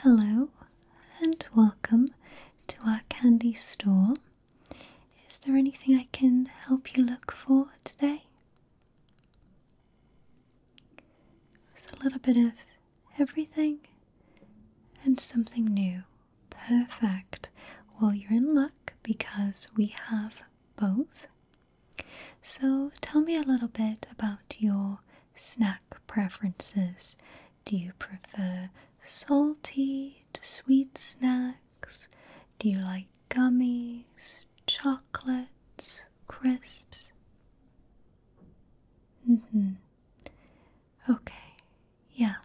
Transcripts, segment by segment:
Hello and welcome to our candy store. Is there anything I can help you look for today? There's a little bit of everything and something new. Perfect. Well, you're in luck because we have both. So tell me a little bit about your snack preferences. Do you prefer salty to sweet snacks? Do you like gummies, chocolates, crisps? Mm hmm. Okay, yeah.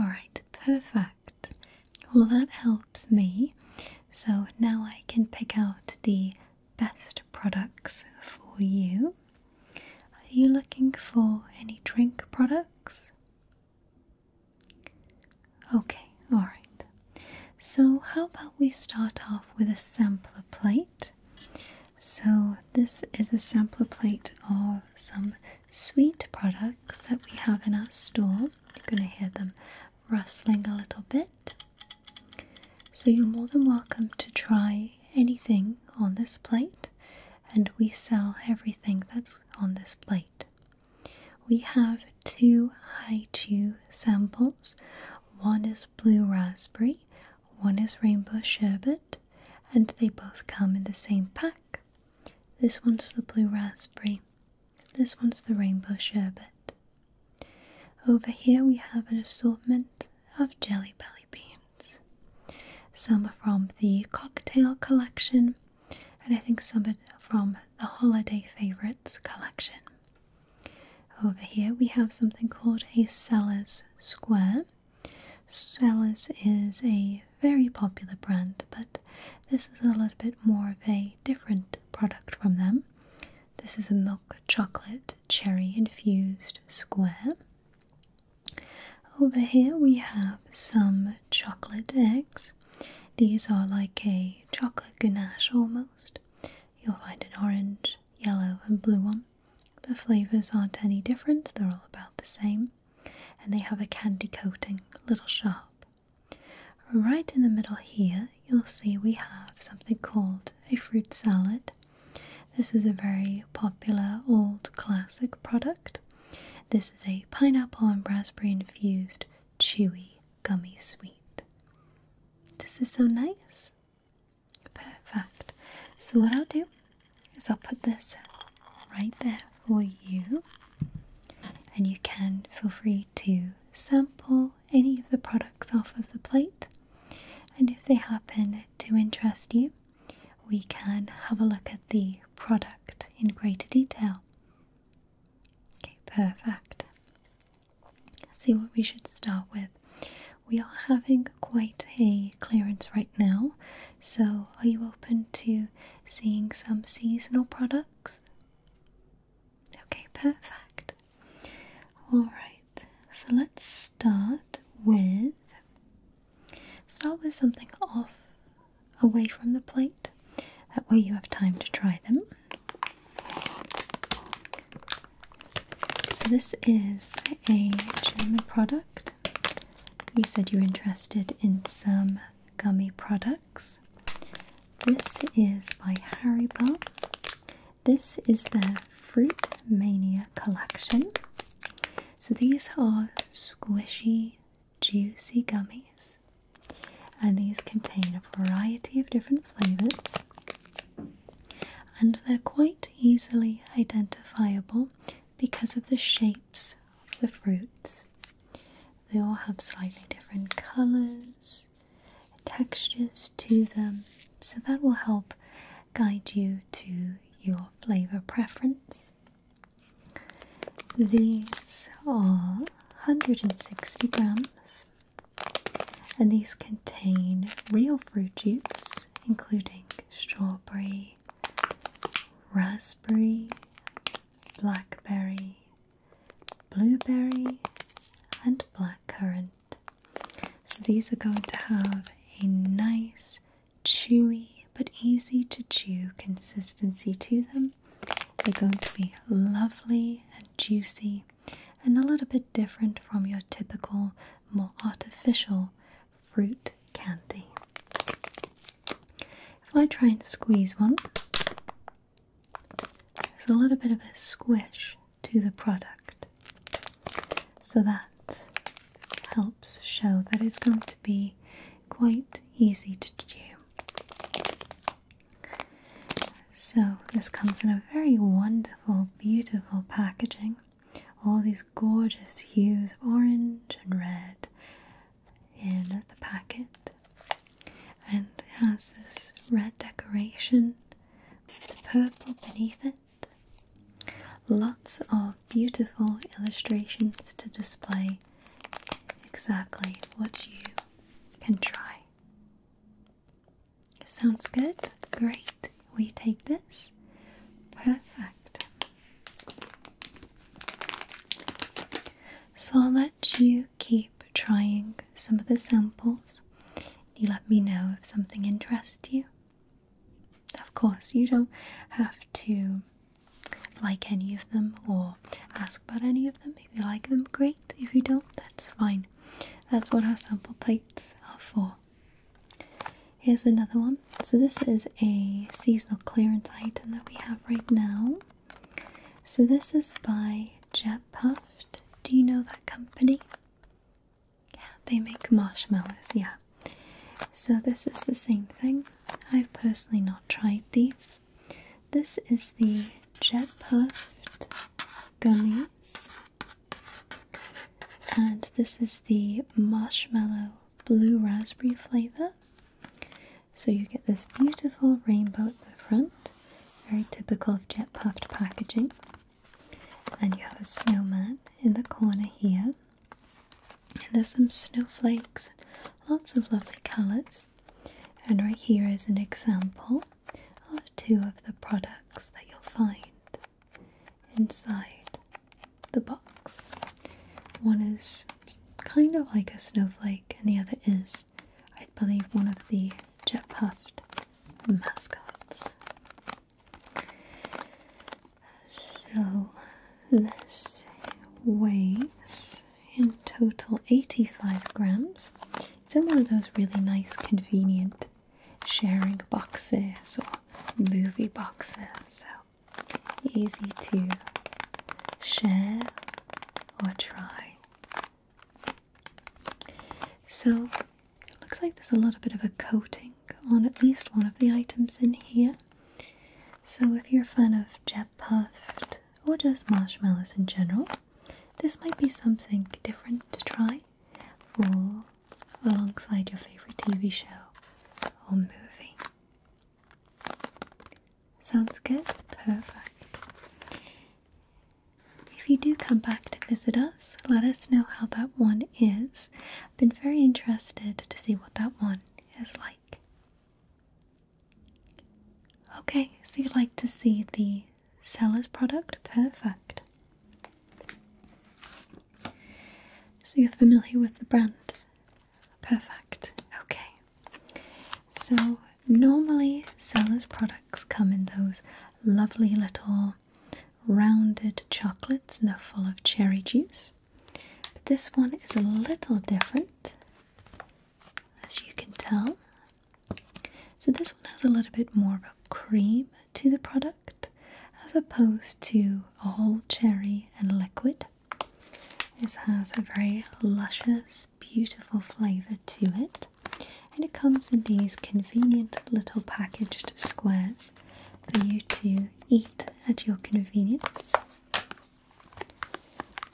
Alright, perfect. Well, that helps me. So now I can pick out the best products for you. Are you looking for any drink products? Okay, alright. So, how about we start off with a sampler plate? So, this is a sampler plate of some sweet products that we have in our store. You're going to hear them rustling a little bit. So you're more than welcome to try anything on this plate, and we sell everything that's on this plate. We have two Haichu samples one is blue raspberry, one is rainbow sherbet, and they both come in the same pack. This one's the blue raspberry, this one's the rainbow sherbet. Over here we have an assortment of jelly belly beans. Some are from the cocktail collection, and I think some from the holiday favorites collection. Over here we have something called a Sellers Square. Sellers is a very popular brand, but this is a little bit more of a different product from them. This is a milk chocolate cherry infused square. Over here we have some chocolate eggs. These are like a chocolate ganache almost. You'll find an orange, yellow, and blue one. The flavours aren't any different, they're all about the same. And they have a candy coating, a little sharp. Right in the middle here you'll see we have something called a fruit salad. This is a very popular old classic product. This is a pineapple and raspberry infused chewy gummy sweet. This is so nice. Perfect. So, what I'll do is I'll put this right there for you, and you can feel free to sample any of the products off of the plate, and if they happen to interest you, we can have a look at the product in greater detail. Okay, perfect. Let's see what we should start with. We are having quite a clearance right now, so are you open to seeing some seasonal products? Okay, perfect. Alright, so let's start with start with something off away from the plate. That way you have time to try them. So this is a German product. You said you are interested in some gummy products. This is by Haribo. This is the Fruit Mania collection. So these are squishy, juicy gummies, and these contain a variety of different flavors. And they're quite easily identifiable because of the shapes of the fruits. They all have slightly different colours, textures to them. So that will help guide you to your flavor preference. These are 160 grams and these contain real fruit juice including strawberry, raspberry, blackberry, blueberry, and blackcurrant. So these are going to have a nice, chewy, but easy to chew consistency to them. They're going to be lovely and juicy and a little bit different from your typical, more artificial fruit candy. If I try and squeeze one, there's a little bit of a squish to the product. So that helps show that it's going to be quite easy to chew. So, this comes in a very wonderful, beautiful packaging. All these gorgeous hues of orange and red in the packet, and it has this red decoration the purple beneath it. Lots of beautiful illustrations to display exactly what you can try. Sounds good? Great. Will you take this? Perfect. So I'll let you keep trying some of the samples. You let me know if something interests you. Of course, you don't have to like any of them or ask about any of them. If you like them, great. If you don't, that's fine. That's what our sample plates are for. Here's another one. So, this is a seasonal clearance item that we have right now. So, this is by Jet Puffed. Do you know that company? Yeah, they make marshmallows, yeah. So this is the same thing. I've personally not tried these. This is the Jet Puffed Gummies. And this is the Marshmallow Blue Raspberry flavor. So you get this beautiful rainbow at the front, very typical of Jet Puffed packaging. And you have a snowman in the corner here. And there's some snowflakes, lots of lovely colours. And right here is an example of two of the products that you'll find inside the box. One is kind of like a snowflake, and the other is I believe, one of the jet puffed mascots. So this weighs in total 85 grams. It's in one of those really nice, convenient sharing boxes or movie boxes, so easy to share or try. So looks like there's a little bit of a coating on at least one of the items in here. So if you're a fan of jet puffed or just marshmallows in general, this might be something different to try for alongside your favorite TV show or movie. Sounds good? Perfect. If you do come back to visit us, let us know how that one is. I've been very interested to see what that one is like. Okay, so you'd like to see the seller's product? Perfect. So you're familiar with the brand? Perfect. Okay. So Normally, Sellers products come in those lovely little rounded chocolates and they're full of cherry juice. But this one is a little different, as you can tell. So, this one has a little bit more of a cream to the product as opposed to a whole cherry and liquid. This has a very luscious, beautiful flavour to it and it comes in these convenient little packaged squares for you to eat at your convenience.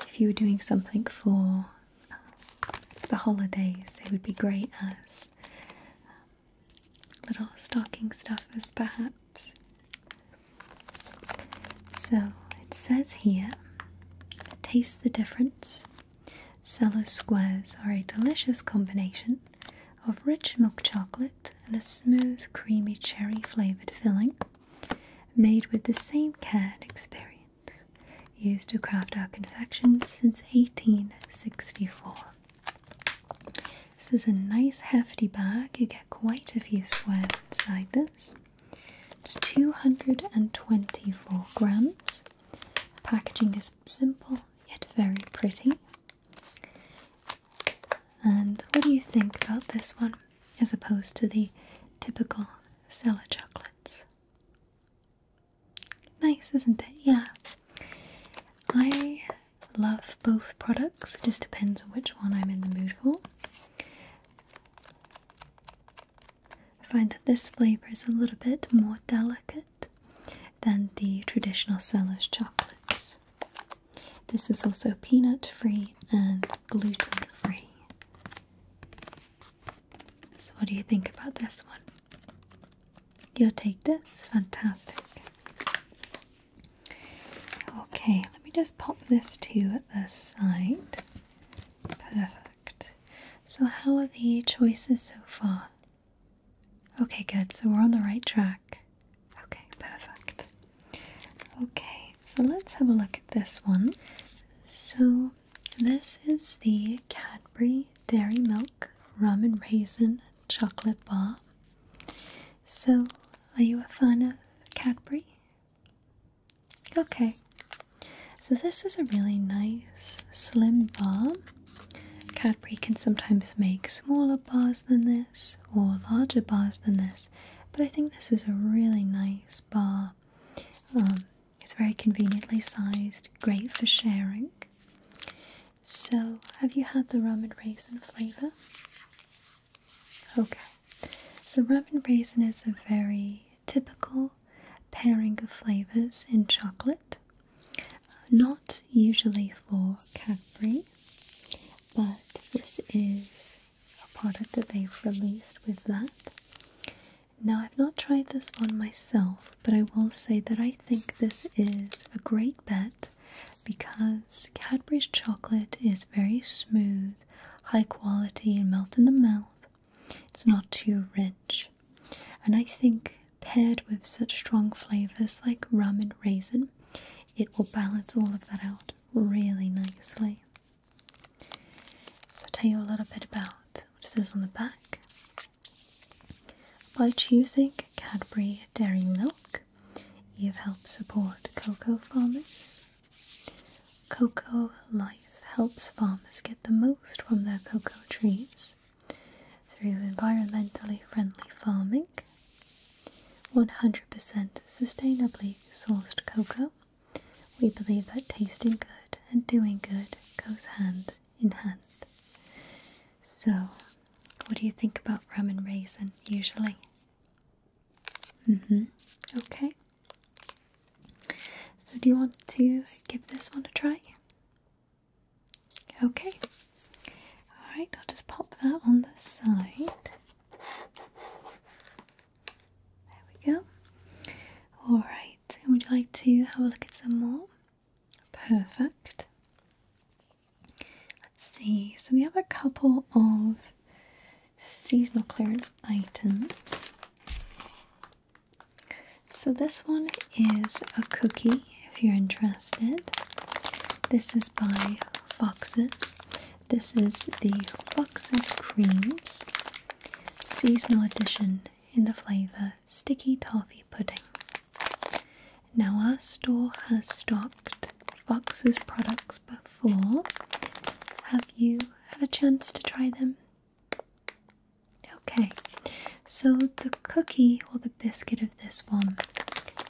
If you were doing something for uh, the holidays, they would be great as um, little stocking stuffers, perhaps. So it says here taste the difference Cellar squares are a delicious combination of rich milk chocolate and a smooth, creamy cherry flavored filling made with the same care and experience used to craft our confections since 1864. This is a nice hefty bag, you get quite a few squares inside this. It's 224 grams Packaging is simple yet very pretty. And what do you think about this one as opposed to the typical Stella chocolates? Nice, isn't it? Yeah. I love both products, it just depends on which one I'm in the mood for. I find that this flavour is a little bit more delicate than the traditional seller's chocolates. This is also peanut free and gluten free. So, what do you think about this one? You'll take this? Fantastic. Okay, let me just pop this to the side. Perfect. So, how are the choices so far? Okay, good. So, we're on the right track. Okay, perfect. Okay, so let's have a look at this one. So, this is the Cadbury Dairy Milk Rum and Raisin Chocolate Bar. So, are you a fan of Cadbury? Okay, so this is a really nice slim bar. Cadbury can sometimes make smaller bars than this or larger bars than this, but I think this is a really nice bar. Um, it's very conveniently sized, great for sharing. So, have you had the rum and raisin flavour? Okay, so rum and raisin is a very typical pairing of flavors in chocolate. Not usually for Cadbury, but this is a product that they've released with that. Now, I've not tried this one myself, but I will say that I think this is a great bet because Cadbury's chocolate is very smooth, high quality, and melt in the mouth. It's not too rich. And I think paired with such strong flavors like rum and raisin, it will balance all of that out really nicely. So, I'll tell you a little bit about what's says on the back. By choosing Cadbury Dairy Milk, you've helped support cocoa farmers. Cocoa Life helps farmers get the most from their cocoa trees through environmentally friendly farming, 100% sustainably sourced cocoa. We believe that tasting good and doing good goes hand in hand. So, what do you think about rum and raisin usually? Mm hmm. Okay. So, do you want to give this one a try? Okay. Alright, I'll just pop that on the side. There we go. Alright, would you like to have a look at some more? Perfect. Let's see. So, we have a couple of seasonal clearance items. So this one is a cookie if you're interested. This is by Foxes. This is the Foxes Creams Seasonal Edition in the flavor Sticky Toffee Pudding. Now, our store has stocked Foxes products before. Have you had a chance to try them? Okay, so the cookie or the biscuit of this one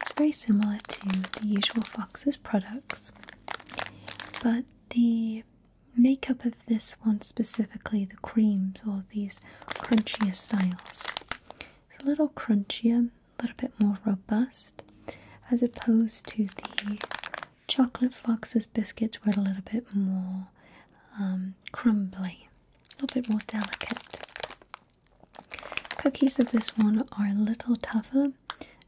is very similar to the usual Fox's products, but the makeup of this one specifically, the creams or these crunchier styles, is a little crunchier, a little bit more robust, as opposed to the Chocolate Fox's biscuits were a little bit more um, crumbly, a little bit more delicate. Cookies of this one are a little tougher,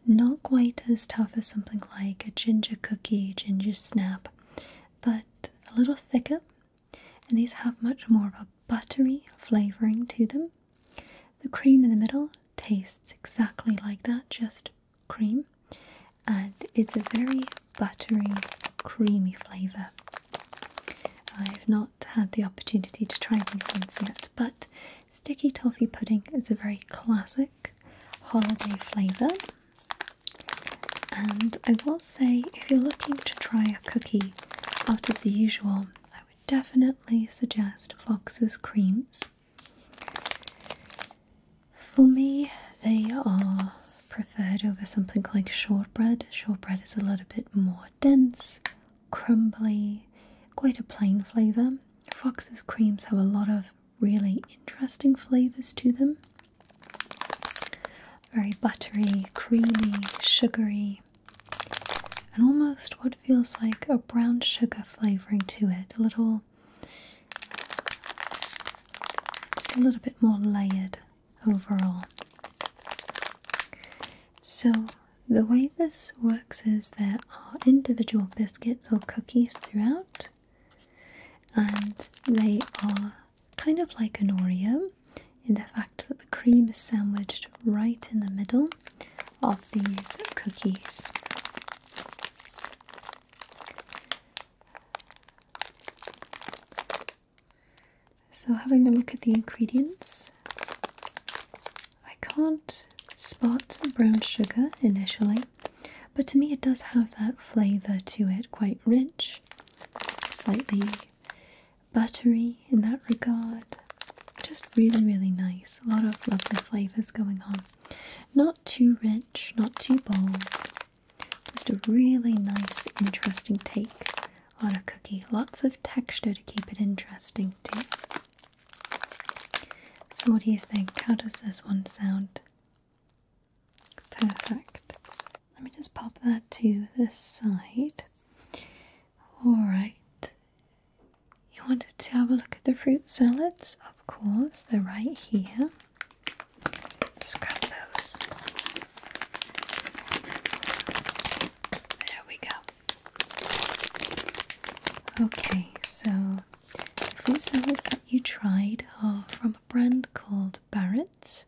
not quite as tough as something like a ginger cookie, ginger snap, but a little thicker. And these have much more of a buttery flavouring to them. The cream in the middle tastes exactly like that, just cream and it's a very buttery, creamy flavour. I've not had the opportunity to try these ones yet, but sticky toffee pudding is a very classic holiday flavour. And I will say, if you're looking to try a cookie out of the usual, I would definitely suggest Fox's Creams. For me, they are preferred over something like shortbread. Shortbread is a little bit more dense, crumbly, quite a plain flavour. Fox's creams have a lot of really interesting flavours to them. Very buttery, creamy, sugary, and almost what feels like a brown sugar flavouring to it. A little just a little bit more layered overall. So, the way this works is there are individual biscuits or cookies throughout, and they are kind of like an Oreo in the fact that the cream is sandwiched right in the middle of these cookies. So, having a look at the ingredients, I can't spot brown sugar initially, but to me it does have that flavour to it, quite rich, slightly buttery in that regard. Just really, really nice. A lot of lovely flavours going on. Not too rich, not too bold, just a really nice, interesting take on a cookie. Lots of texture to keep it interesting too. So, what do you think? How does this one sound? Perfect. Let me just pop that to this side. Alright. You wanted to have a look at the fruit salads? Of course, they're right here. Just grab those. There we go. Okay, so these salads that you tried are from a brand called Barrett's.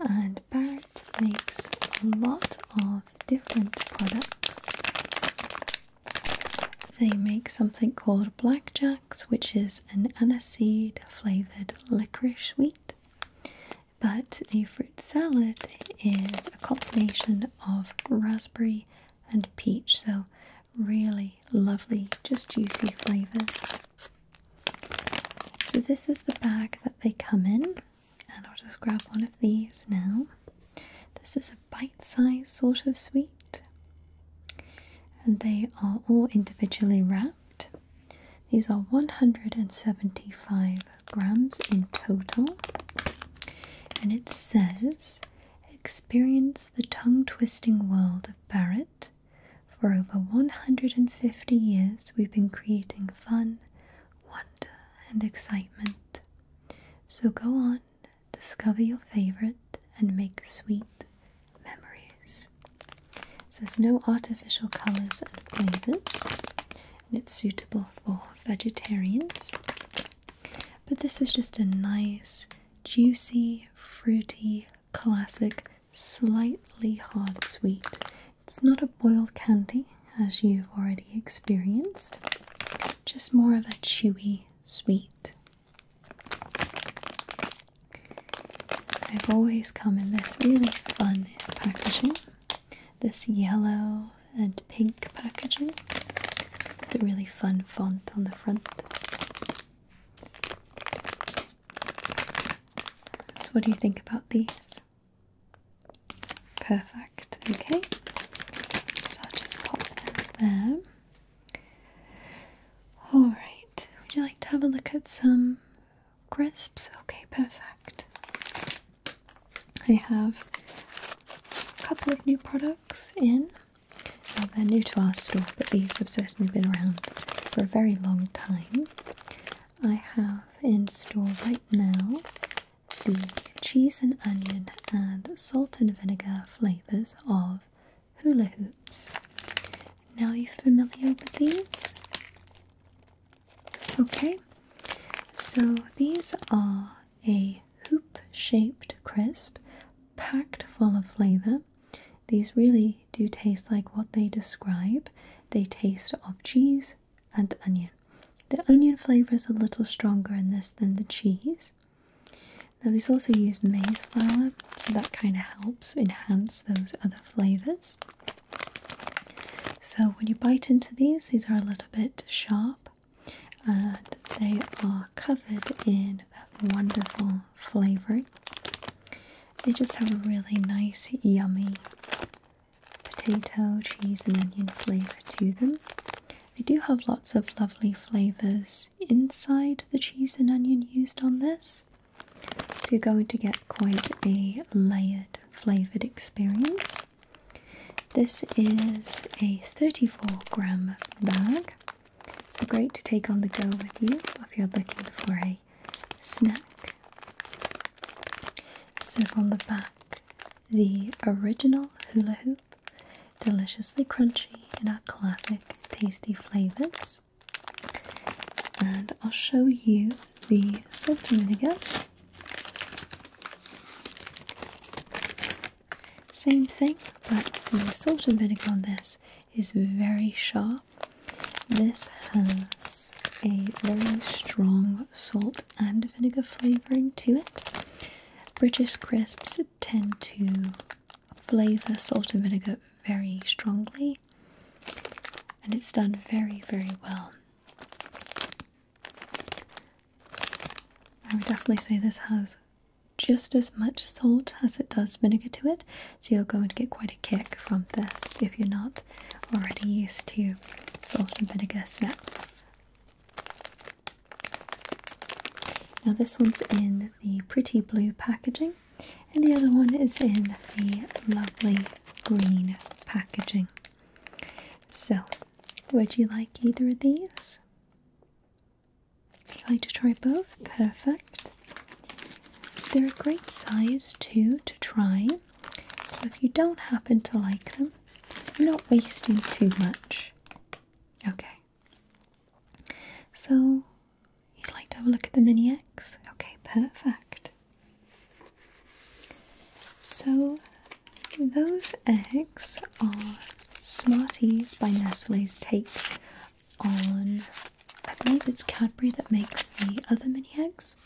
And Barrett makes a lot of different products. They make something called blackjack which is an aniseed flavored licorice sweet. But the fruit salad is a combination of raspberry and peach, so really lovely, just juicy flavours. So, this is the bag that they come in, and I'll just grab one of these now. This is a bite sized sort of sweet. And they are all individually wrapped. These are 175 grams in total. And it says experience the tongue twisting world of Barrett. For over 150 years, we've been creating fun, wonder, and excitement. So go on, discover your favorite, and make sweet memories. It has no artificial colors and flavors, and it's suitable for vegetarians. But this is just a nice, juicy, fruity, classic, slightly hard sweet. It's not a boiled candy as you've already experienced, just more of a chewy sweet I've always come in this really fun packaging. This yellow and pink packaging with a really fun font on the front. So, what do you think about these? Perfect, okay. So, I'll just pop them there. Alright, would you like to have a look at some crisps? Okay, perfect. I have a couple of new products in. they're new to our store, but these have certainly been around for a very long time. I have in store right now the cheese and onion and salt and vinegar flavours of hula hoops. Now you are familiar with these? Okay, so these are a hoop shaped crisp packed full of flavor. These really do taste like what they describe. They taste of cheese and onion. The onion flavor is a little stronger in this than the cheese. Now, this also uses maize flour, so that kind of helps enhance those other flavours. So, when you bite into these, these are a little bit sharp and they are covered in that wonderful flavouring. They just have a really nice, yummy potato, cheese, and onion flavour to them. They do have lots of lovely flavours inside the cheese and onion used on this. So you're going to get quite a layered flavoured experience. This is a 34 gram bag. So great to take on the go with you if you're looking for a snack. It says on the back the original hula hoop deliciously crunchy in our classic tasty flavors. And I'll show you the salt and vinegar. Same thing, but the salt and vinegar on this is very sharp. This has a very strong salt and vinegar flavouring to it. British crisps tend to flavour salt and vinegar very strongly, and it's done very, very well. I would definitely say this has just as much salt as it does vinegar to it, so you're going to get quite a kick from this if you're not already used to salt and vinegar snacks. Now, this one's in the pretty blue packaging, and the other one is in the lovely green packaging. So, would you like either of these? Would you like to try both? Perfect. They're a great size too to try, so if you don't happen to like them, you're not wasting too much. Okay, so, you'd like to have a look at the Mini eggs? Okay, perfect. So, those eggs are Smarties by Nestle's take on, I believe it's Cadbury that makes the other mini eggs.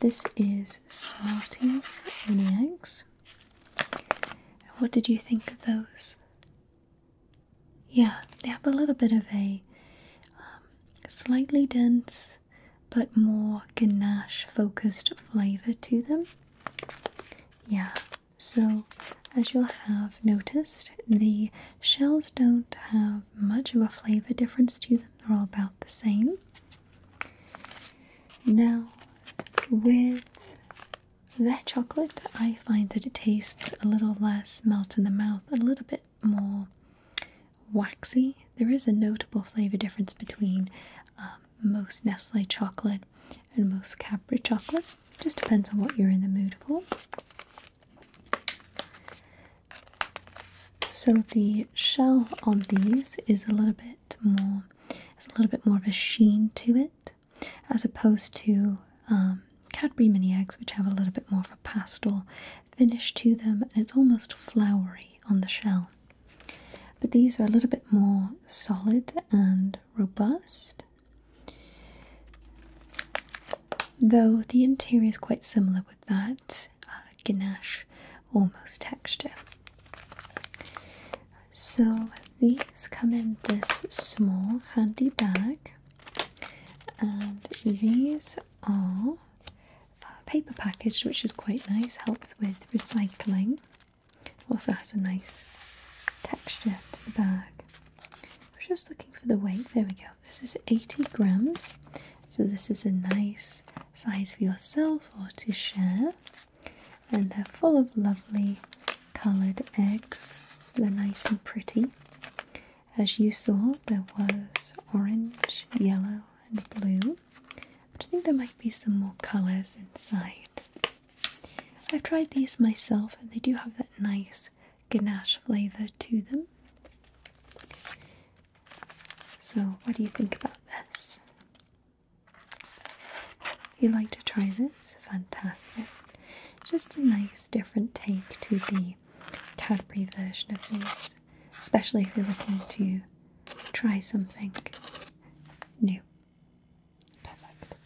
This is Smarties mini eggs. What did you think of those? Yeah, they have a little bit of a um, slightly dense but more ganache focused flavor to them. Yeah, so as you'll have noticed, the shells don't have much of a flavor difference to them, they're all about the same. Now, with that chocolate, I find that it tastes a little less melt in the mouth, a little bit more waxy. There is a notable flavor difference between um, most Nestle chocolate and most Capri chocolate. Just depends on what you're in the mood for. So the shell on these is a little bit more, It's a little bit more of a sheen to it as opposed to um, Cadbury mini eggs, which have a little bit more of a pastel finish to them, and it's almost floury on the shell. But these are a little bit more solid and robust, though the interior is quite similar with that uh, ganache almost texture. So these come in this small handy bag, and these are paper packaged, which is quite nice, helps with recycling. Also has a nice texture to the bag. I was just looking for the weight, there we go. This is 80 grams, so this is a nice size for yourself or to share. And they're full of lovely coloured eggs, so they're nice and pretty. As you saw, there was orange, yellow, and blue, I think there might be some more colours inside. I've tried these myself, and they do have that nice ganache flavour to them. So, what do you think about this? you'd like to try this, fantastic. Just a nice different take to the Cadbury version of these, especially if you're looking to try something new. Perfect.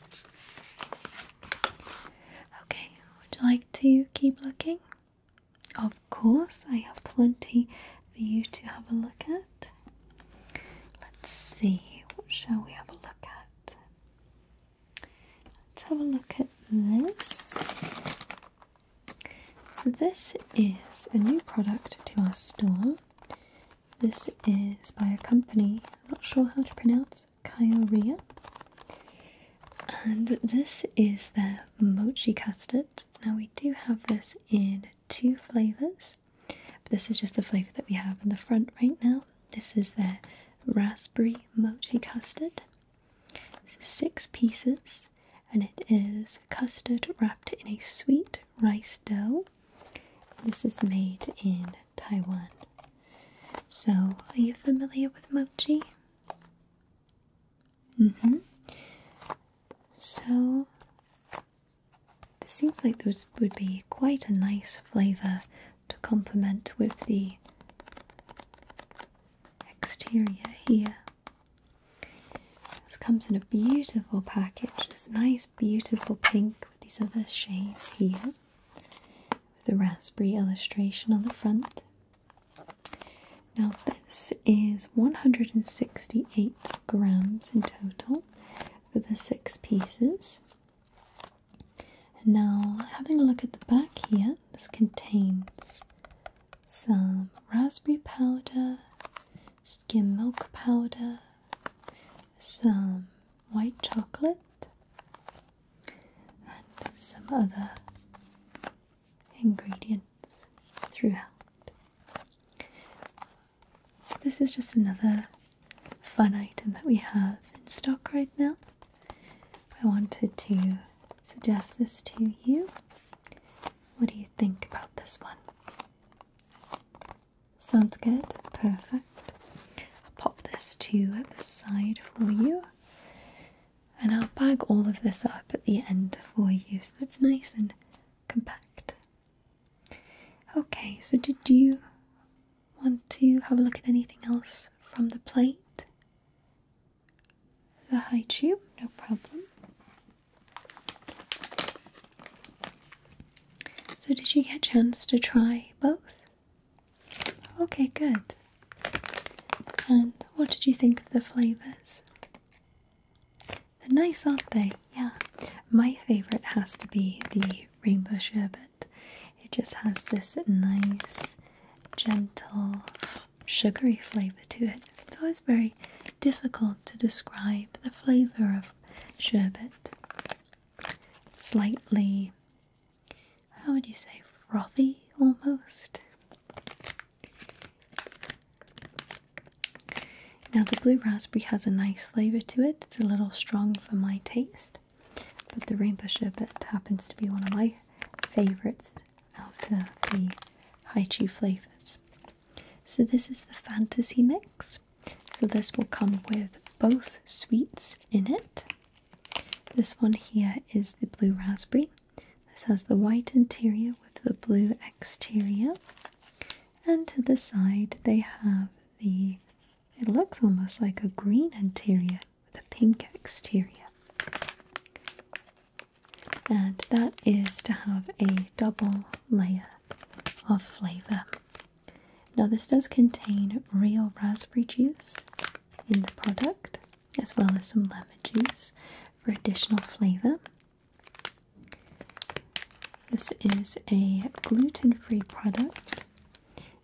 Okay, would you like to keep looking? Of course, I have plenty for you to have a look at. Let's see, what shall we have a look at? Let's have a look at this. So, this is a new product to our store. This is by a company, I'm not sure how to pronounce, Kyoria. And this is their mochi custard. Now, we do have this in two flavours this. But this is just the flavour that we have in the front right now. This is their raspberry mochi custard. This is six pieces and it is custard wrapped in a sweet rice dough. This is made in Taiwan. So, are you familiar with mochi? Mm hmm. So, this seems like this would be quite a nice flavour to complement with the exterior here. This comes in a beautiful package, this nice beautiful pink with these other shades here with the raspberry illustration on the front. Now this is 168 grams in total for the six pieces. Now, having a look at the back here, this contains some raspberry powder, skim milk powder, some white chocolate, and some other ingredients throughout. This is just another fun item that we have in stock right now. I wanted to suggest this to you. What do you think about this one? Sounds good? Perfect. I'll pop this to the side for you. And I'll bag all of this up at the end for you so it's nice and compact. Okay, so did you Want to have a look at anything else from the plate? The high tube, no problem. So, did you get a chance to try both? Okay, good. And what did you think of the flavours? They're nice, aren't they? Yeah. My favourite has to be the rainbow sherbet it just has this nice, gentle, sugary flavour to it. It's always very difficult to describe the flavour of sherbet. Slightly, how would you say, frothy almost? Now, the blue raspberry has a nice flavor to it. It's a little strong for my taste, but the rainbow sherbet happens to be one of my favorites out of the Haichu flavors. So this is the fantasy mix. So this will come with both sweets in it. This one here is the blue raspberry. This has the white interior with the blue exterior. And to the side they have the it looks almost like a green interior with a pink exterior. And that is to have a double layer of flavor. Now, this does contain real raspberry juice in the product, as well as some lemon juice for additional flavor. This is a gluten free product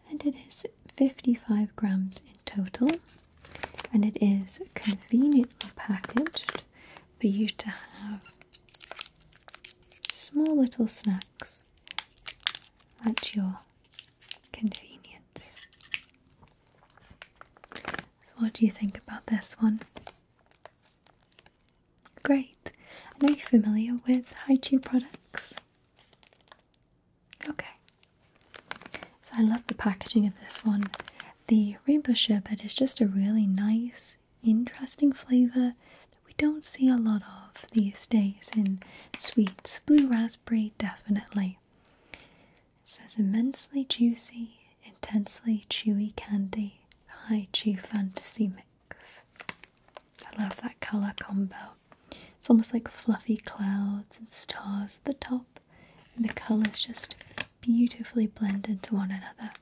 and it is 55 grams in total. And it is conveniently packaged for you to have small little snacks at your convenience. So, what do you think about this one? Great. And are you familiar with high chew products? Okay. So I love the packaging of this one. The rainbow sherbet is just a really nice, interesting flavour that we don't see a lot of these days in sweets. Blue raspberry, definitely. It says immensely juicy, intensely chewy candy, high chew fantasy mix. I love that color combo. It's almost like fluffy clouds and stars at the top, and the colors just beautifully blend into one another.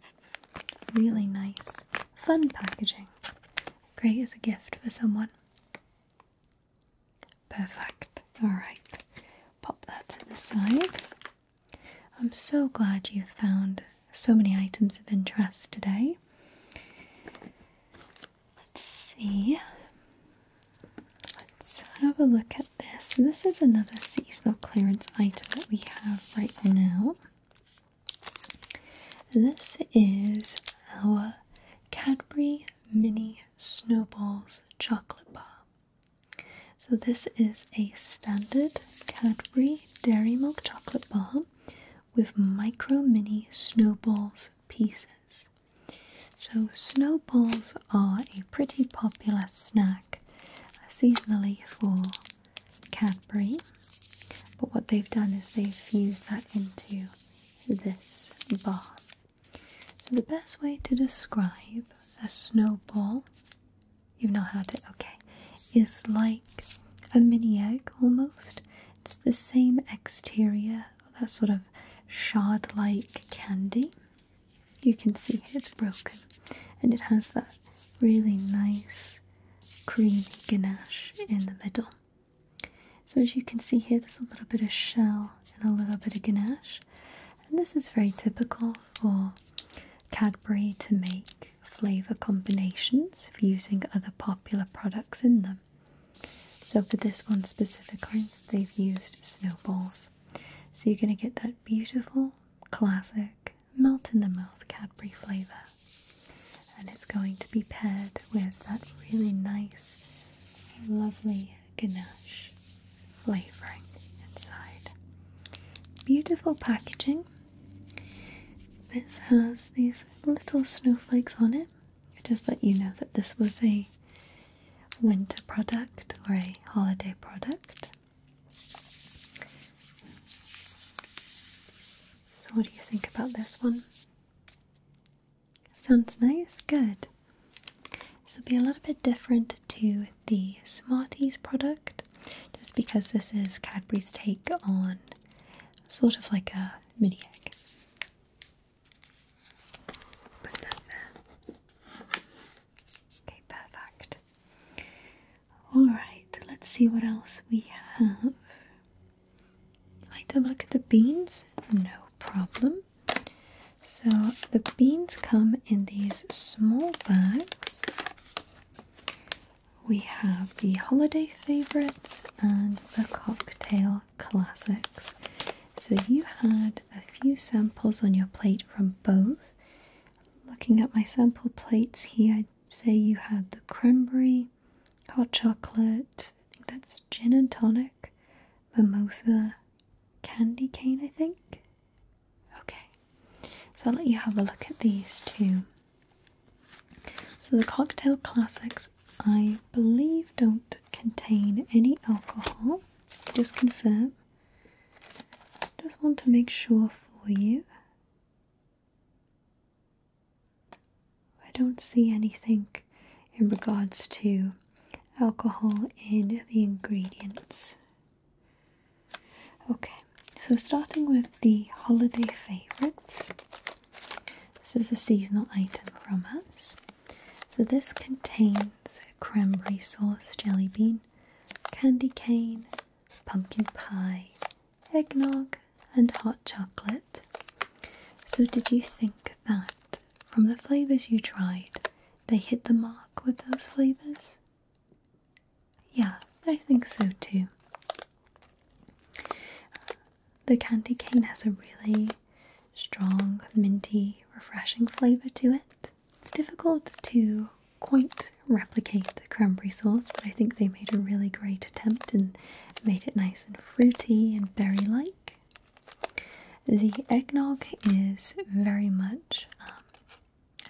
Really nice, fun packaging. Great as a gift for someone. Perfect. Alright, pop that to the side. I'm so glad you found so many items of interest today. Let's see. Let's have a look at this. This is another seasonal clearance item that we have right now. This is our Cadbury Mini Snowballs chocolate bar. So, this is a standard Cadbury Dairy Milk chocolate bar with micro mini snowballs pieces. So, snowballs are a pretty popular snack uh, seasonally for Cadbury, but what they've done is they've fused that into this bar. So, the best way to describe a snowball, you've not had it, okay is like a mini egg almost. It's the same exterior, that sort of shard like candy. You can see it's broken and it has that really nice creamy ganache in the middle. So, as you can see here, there's a little bit of shell and a little bit of ganache. And this is very typical for Cadbury to make flavor combinations for using other popular products in them. So for this one specifically, they've used snowballs. So you're going to get that beautiful, classic, melt-in-the-mouth Cadbury flavor. And it's going to be paired with that really nice, lovely ganache flavoring inside. Beautiful packaging. This has these little snowflakes on it. I just let you know that this was a winter product or a holiday product. So, what do you think about this one? Sounds nice? Good. This will be a little bit different to the Smarties product just because this is Cadbury's take on sort of like a mini egg. Okay, perfect. Alright, let's see what else we have. Like to have a look at the beans? No problem. So the beans come in these small bags we have the holiday favourites and the cocktail classics. So you had a few samples on your plate from both. Looking at my sample plates here, I'd say you had the cranberry, hot chocolate, I think that's gin and tonic, mimosa, candy cane, I think. Okay, so I'll let you have a look at these too. So the cocktail classics, I believe, don't contain any alcohol. Just confirm. Just want to make sure for you. I don't see anything in regards to alcohol in the ingredients. Okay so starting with the holiday favourites, this is a seasonal item from us. So this contains cranberry sauce, jelly bean, candy cane, pumpkin pie, eggnog, and hot chocolate. So did you think that from the flavours you tried, they hit the mark with those flavours? Yeah, I think so too. The candy cane has a really strong, minty, refreshing flavour to it. It's difficult to quite replicate the cranberry sauce, but I think they made a really great attempt and made it nice and fruity and berry like. The eggnog is very much um,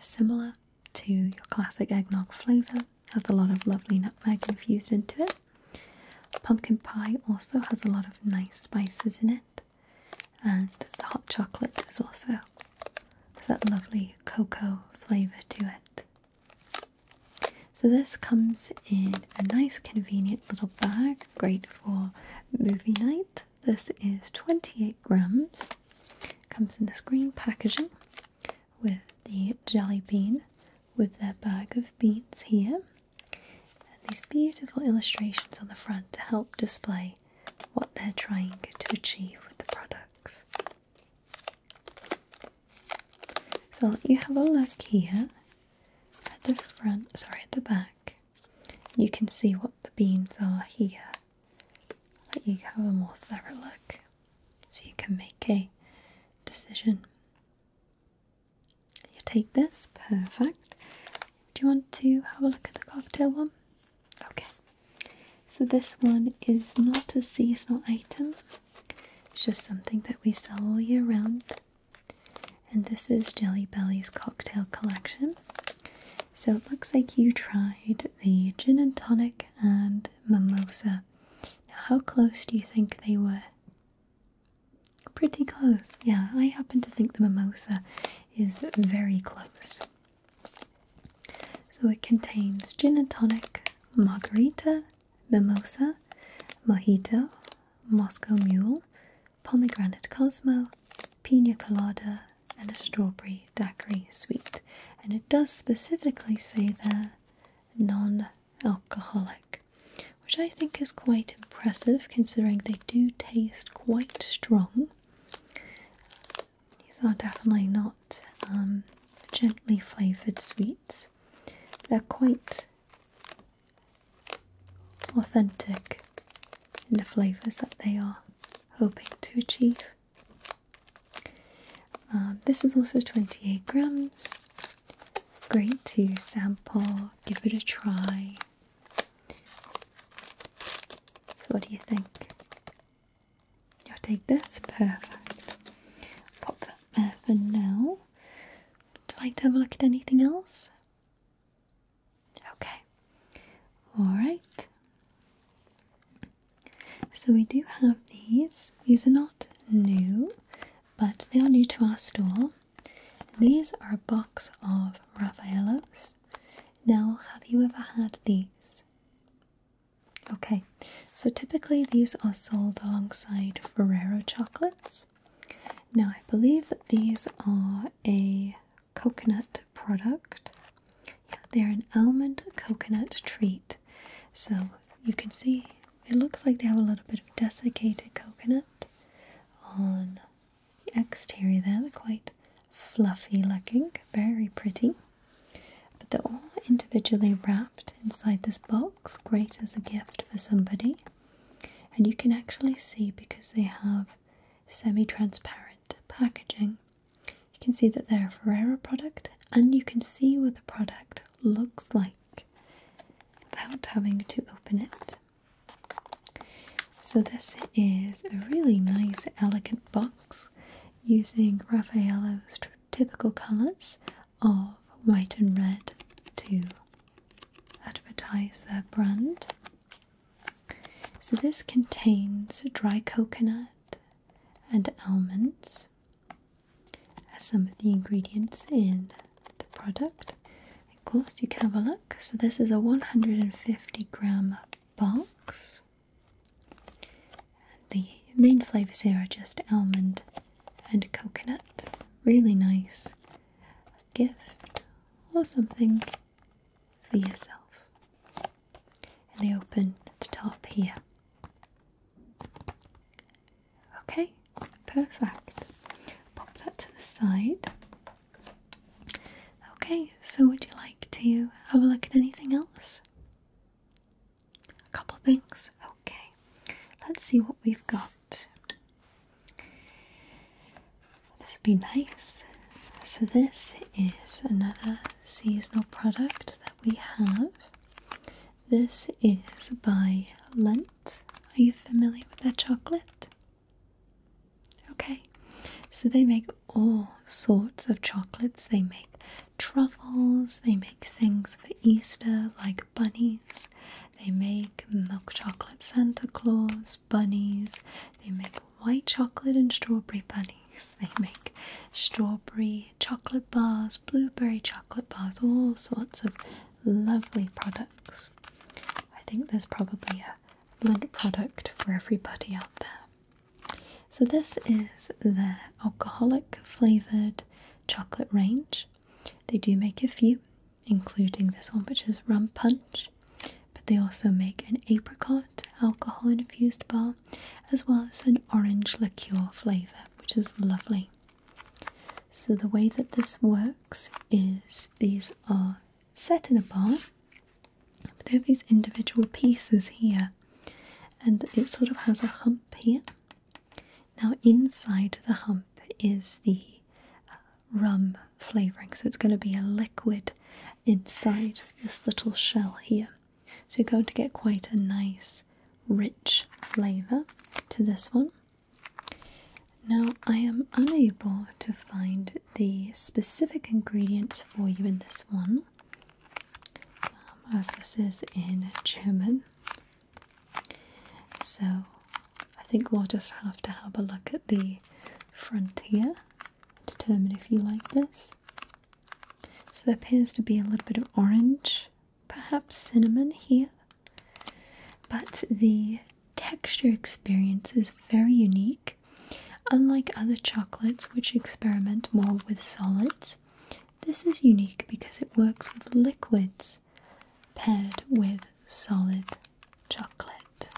similar to your classic eggnog flavour has a lot of lovely nutmeg infused into it. Pumpkin pie also has a lot of nice spices in it, and the hot chocolate is also has that lovely cocoa flavor to it. So this comes in a nice convenient little bag, great for movie night. This is 28 grams, comes in this green packaging with the jelly bean with their bag of beans here. And these beautiful illustrations on the front to help display what they're trying to achieve with the products. So you have a look here at the front, sorry, at the back. You can see what the beans are here. let you have a more thorough look so you can make a decision. You take this, perfect. Do you want to have a look at the cocktail one? Okay, so this one is not a seasonal item, it's just something that we sell all year round. And this is Jelly Belly's cocktail collection. So it looks like you tried the gin and tonic and mimosa now, how close do you think they were? Pretty close, yeah. I happen to think the mimosa is very close. So it contains gin and tonic, margarita, mimosa, mojito, Moscow mule, pomegranate cosmo, pina colada, and a strawberry a sweet, and it does specifically say they're non alcoholic, which I think is quite impressive considering they do taste quite strong. These are definitely not um, gently flavoured sweets, they're quite authentic in the flavours that they are hoping to achieve. Um, this is also 28 grams. Great to sample, give it a try. So, what do you think? You'll take this? Perfect. Pop that there for now. Would you like to have a look at anything else? Okay. Alright. So we do have these. These are not new, but they are new to our store. These are a box of Raffaello's. Now, have you ever had these? Okay, so typically these are sold alongside Ferrero chocolates. Now, I believe that these are a coconut product, they're an almond coconut treat. So you can see it looks like they have a little bit of desiccated coconut on the exterior there. They're quite fluffy looking, very pretty. But they're all individually wrapped inside this box, great as a gift for somebody. And you can actually see because they have semi transparent packaging you can see that they're a Ferrero product and you can see what the product looks like without having to open it. So this is a really nice elegant box using Raffaello's typical colours of white and red to advertise their brand. So this contains dry coconut, and almonds as some of the ingredients in the product. Of course, you can have a look. So, this is a 150 gram box. The main flavors here are just almond and coconut. Really nice gift or something for yourself and they open at the top here. Okay, perfect. Pop that to the side. Okay, so would you like to have a look at anything else? A couple things? Okay, let's see what we've got. This would be nice. So, this is another seasonal product we have. This is by Lent. Are you familiar with that chocolate? Okay, so they make all sorts of chocolates. They make truffles, they make things for Easter like bunnies, they make milk chocolate Santa Claus, bunnies, they make white chocolate and strawberry bunnies. They make strawberry chocolate bars, blueberry chocolate bars, all sorts of lovely products. I think there's probably a blend product for everybody out there. So, this is their alcoholic flavoured chocolate range. They do make a few, including this one, which is rum punch, but they also make an apricot alcohol infused bar, as well as an orange liqueur flavour, which is lovely. So, the way that this works is these are set in a bar, but there are these individual pieces here, and it sort of has a hump here. Now, inside the hump is the uh, rum flavouring, so it's going to be a liquid inside this little shell here. So you're going to get quite a nice, rich flavour to this one. Now, I am unable to find the specific ingredients for you in this one, um, as this is in German. So I think we'll just have to have a look at the front here, determine if you like this. So there appears to be a little bit of orange, perhaps cinnamon here. But the texture experience is very unique. Unlike other chocolates which experiment more with solids, this is unique because it works with liquids paired with solid chocolate.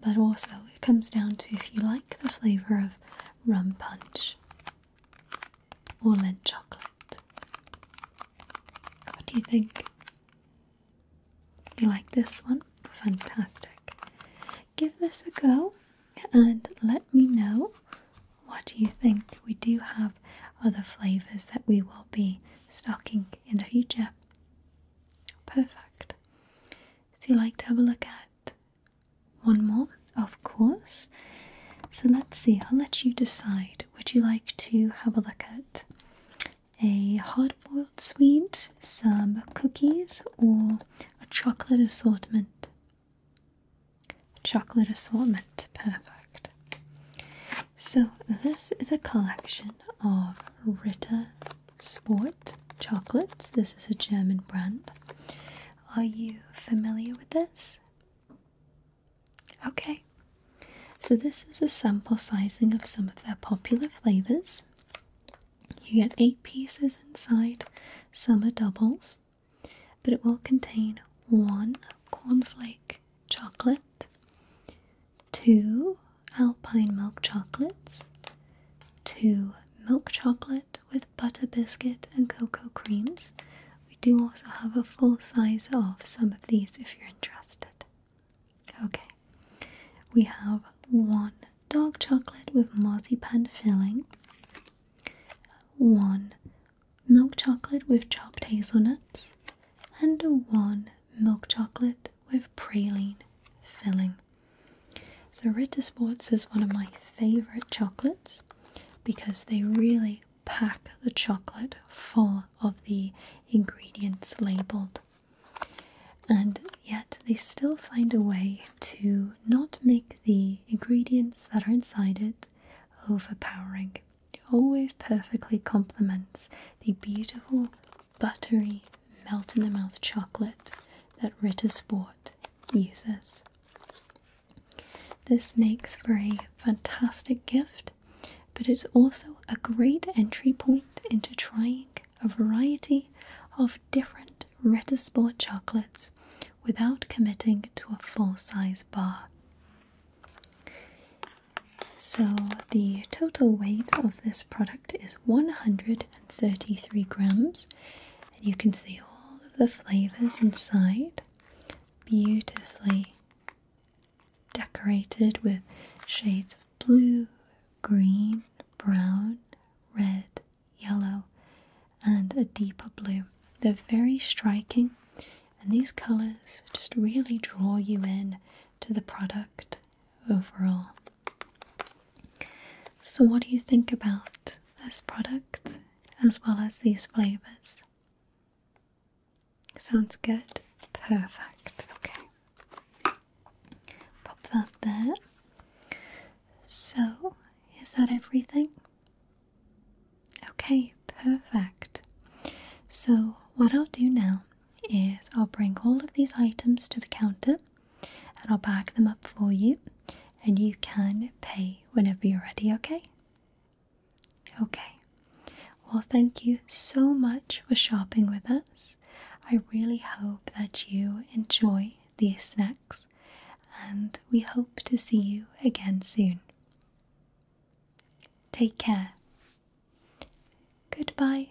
But also, it comes down to if you like the flavour of rum punch or lent chocolate. What do you think? You like this one? Fantastic. Give this a go and let me know what you think. We do have other flavours that we will be stocking in the future. Perfect. So you like to have a look at one more, of course. So let's see, I'll let you decide. Would you like to have a look at a hard boiled sweet, some cookies, or a chocolate assortment? chocolate assortment, perfect. So, this is a collection of Rita Sport chocolates. This is a German brand. Are you familiar with this? Okay, so this is a sample sizing of some of their popular flavors. You get eight pieces inside, some are doubles, but it will contain one cornflake chocolate, two alpine milk chocolates, two milk chocolate with butter biscuit and cocoa creams. We do also have a full size of some of these if you're interested. Okay, we have one dark chocolate with marzipan filling, one milk chocolate with chopped hazelnuts, and one milk chocolate with praline filling. So Ritter Sports is one of my favorite chocolates because they really pack the chocolate full of the ingredients labeled. And yet they still find a way to not make the ingredients that are inside it overpowering. It always perfectly complements the beautiful buttery, melt in the mouth chocolate that Ritter Sport uses. This makes for a fantastic gift, but it's also a great entry point into trying a variety of different Ritter Sport chocolates without committing to a full size bar. So, the total weight of this product is 133 grams, and you can see all of the flavors inside, beautifully decorated with shades of blue, green, brown, red, yellow, and a deeper blue. They're very striking, and these colors just really draw you in to the product overall. So, what do you think about this product as well as these flavors? Sounds good? Perfect. Okay. Pop that there. So, is that everything? Okay, perfect. So, what I'll do now is I'll bring all of these items to the counter and I'll pack them up for you and you can pay whenever you're ready, okay? Okay. Well, thank you so much for shopping with us. I really hope that you enjoy these snacks and we hope to see you again soon. Take care. Goodbye.